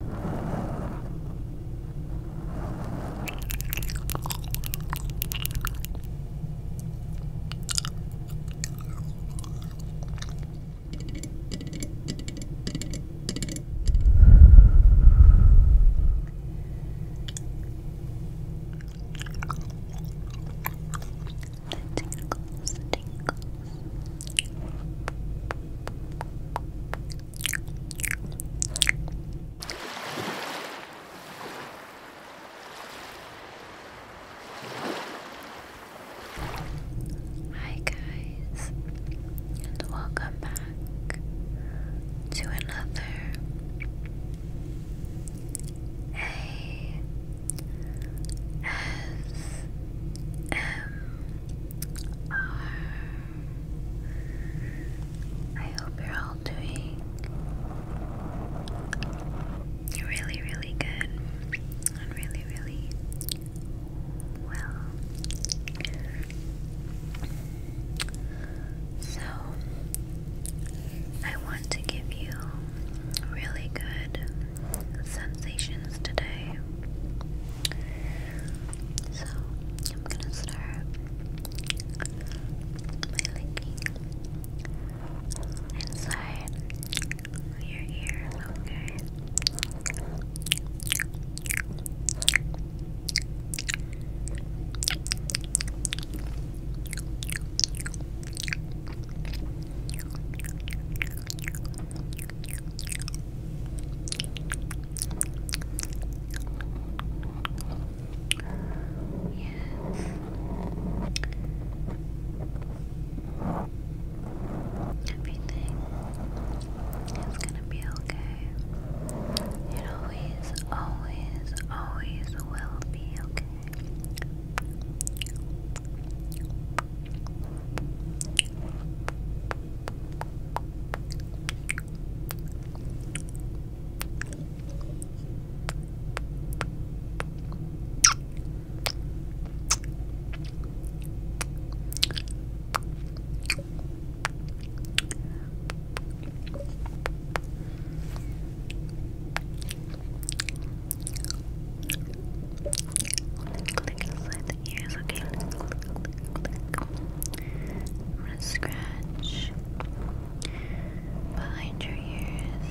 The tingles, the tingles. Hi, guys, and welcome back to another A S M R I hope you're all doing really, really good and really, really well. So, I want to give you really good sensations today. So I'm gonna start by licking inside your ear, okay? Everything is gonna be okay. It always, always, always will be okay click click click the ears, I'm gonna scratch behind your ears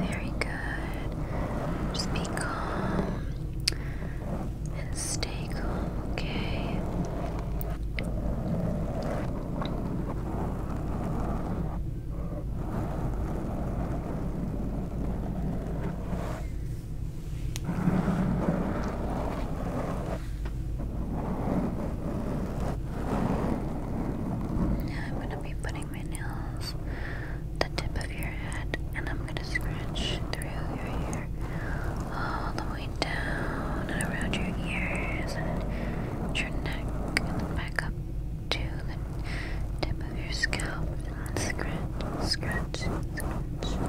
very good. Just be calm and stay calm, okay? Now I'm going to be putting my nails the tip of your head and I'm going to scratch through your hair all the way down and around your ears and your neck and then back up to the tip of your scalp and scratch, scratch, scratch.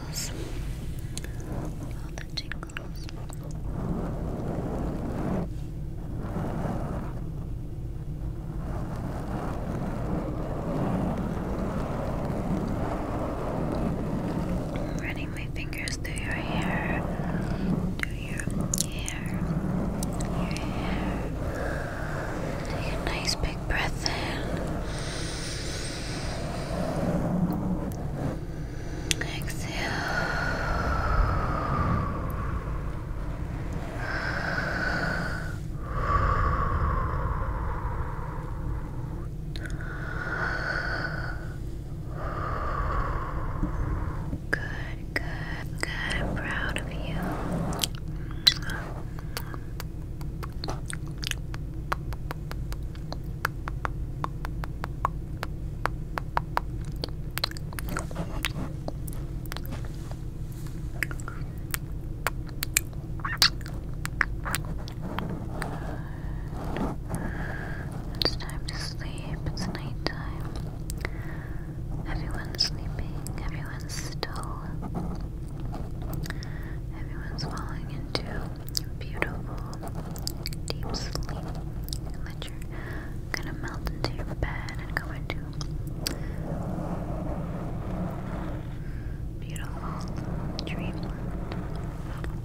running my fingers through your hair, through your hair, your hair. Take a nice big breath in. Exhale. Good, good, good. I'm proud of you. It's time to sleep. It's nighttime. Everyone's sleeping. Everyone's still. Everyone's falling into beautiful deep sleep that you're going melt into your bed and go into beautiful dreamland.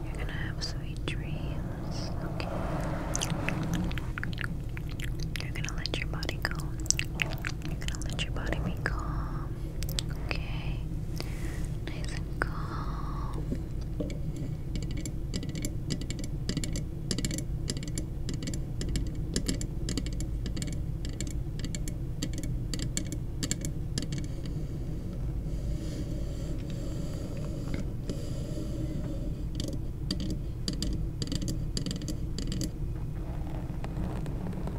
You're gonna have sweet dreams. You're gonna let your body go. You're gonna let your body be calm. Okay. Nice and calm. Okay. Okay, so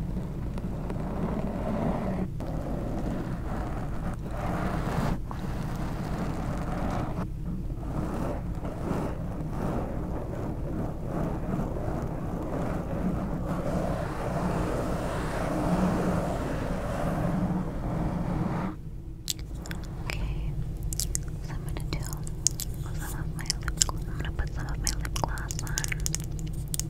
I'm gonna do some of my I'm gonna put some of my lip gloss on.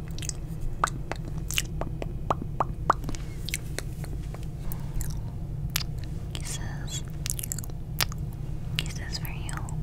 Kisses. Kisses for you. Kiss.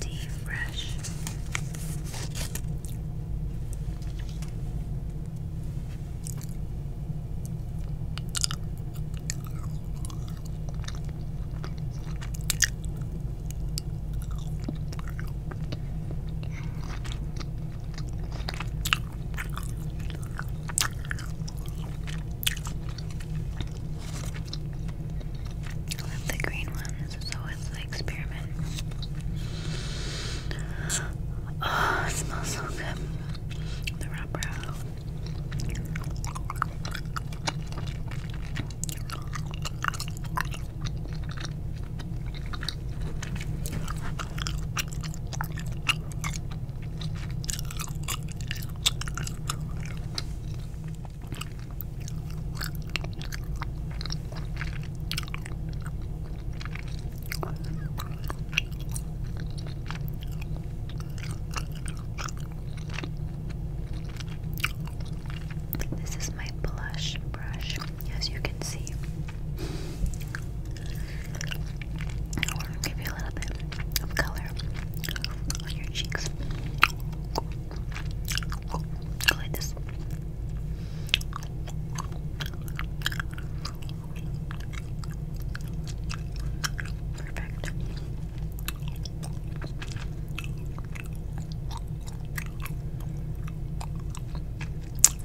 Deep fresh. I love the green ones, so it's the experiment. Oh, smells so good. The wrapper. This is my blush brush, as you can see. I give you a little bit of color on your cheeks. like this.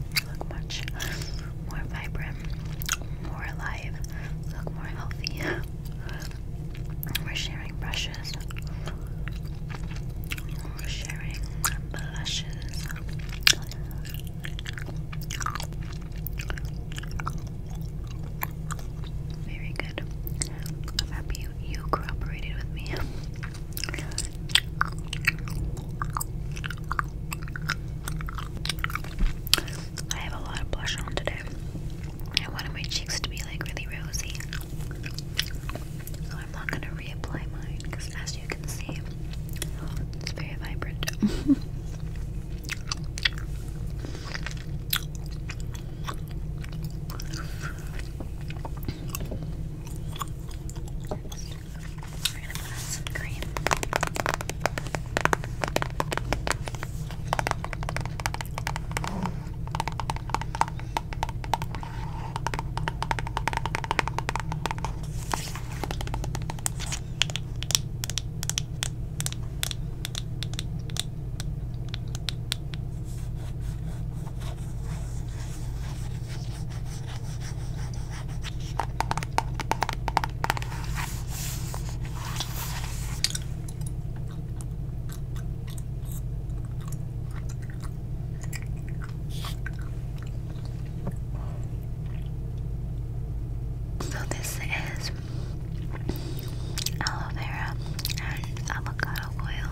You look much more vibrant, more alive look more healthy. We're sharing brushes. We're sharing blushes. Very good. happy you, you cooperated with me. I have a lot of blush on today. I wanted my cheeks to be like really rosy. So I'm not gonna reapply mine because as you can see, it's very vibrant. We're gonna put on some cream. So this is aloe vera and avocado oil.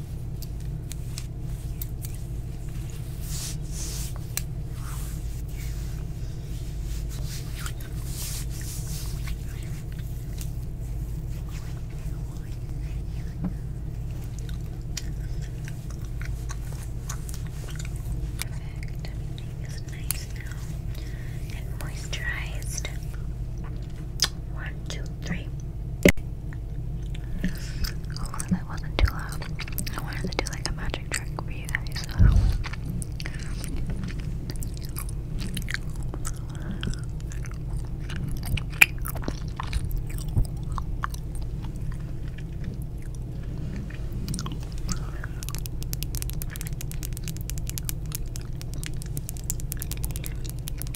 Perfect. Everything is nice now and moisturized. One, two, three. Hopefully oh, that wasn't too loud. I wanted to do like a magic trick for you guys.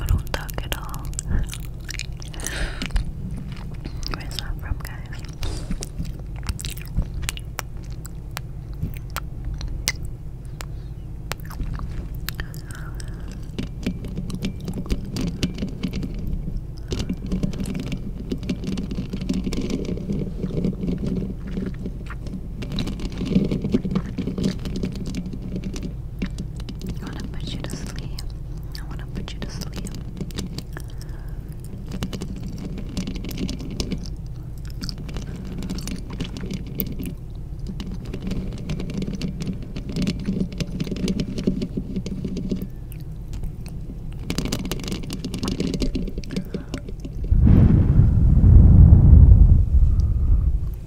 I don't talk at all. Where's that from, guys? I want to put you to sleep. I want to put you to sleep.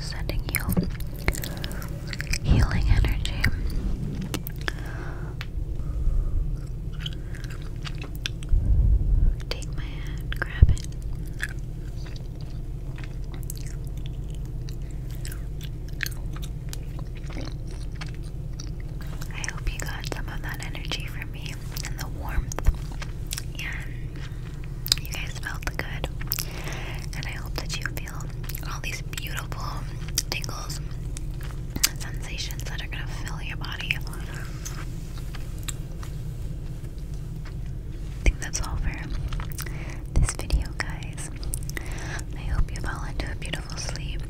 sending you healing energy. Take my hand, grab it. I hope you got some of that energy from me and the warmth and you guys felt good. And I hope that you feel all these beautiful tingles and sensations that are going to fill your body. I think that's all for this video, guys. I hope you fall into a beautiful sleep,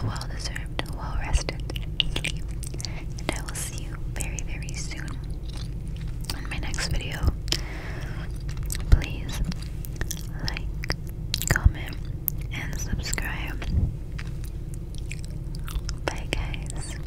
a well deserved, well rested sleep. And I will see you very, very soon in my next video. Please like, comment, and subscribe. Bye, guys.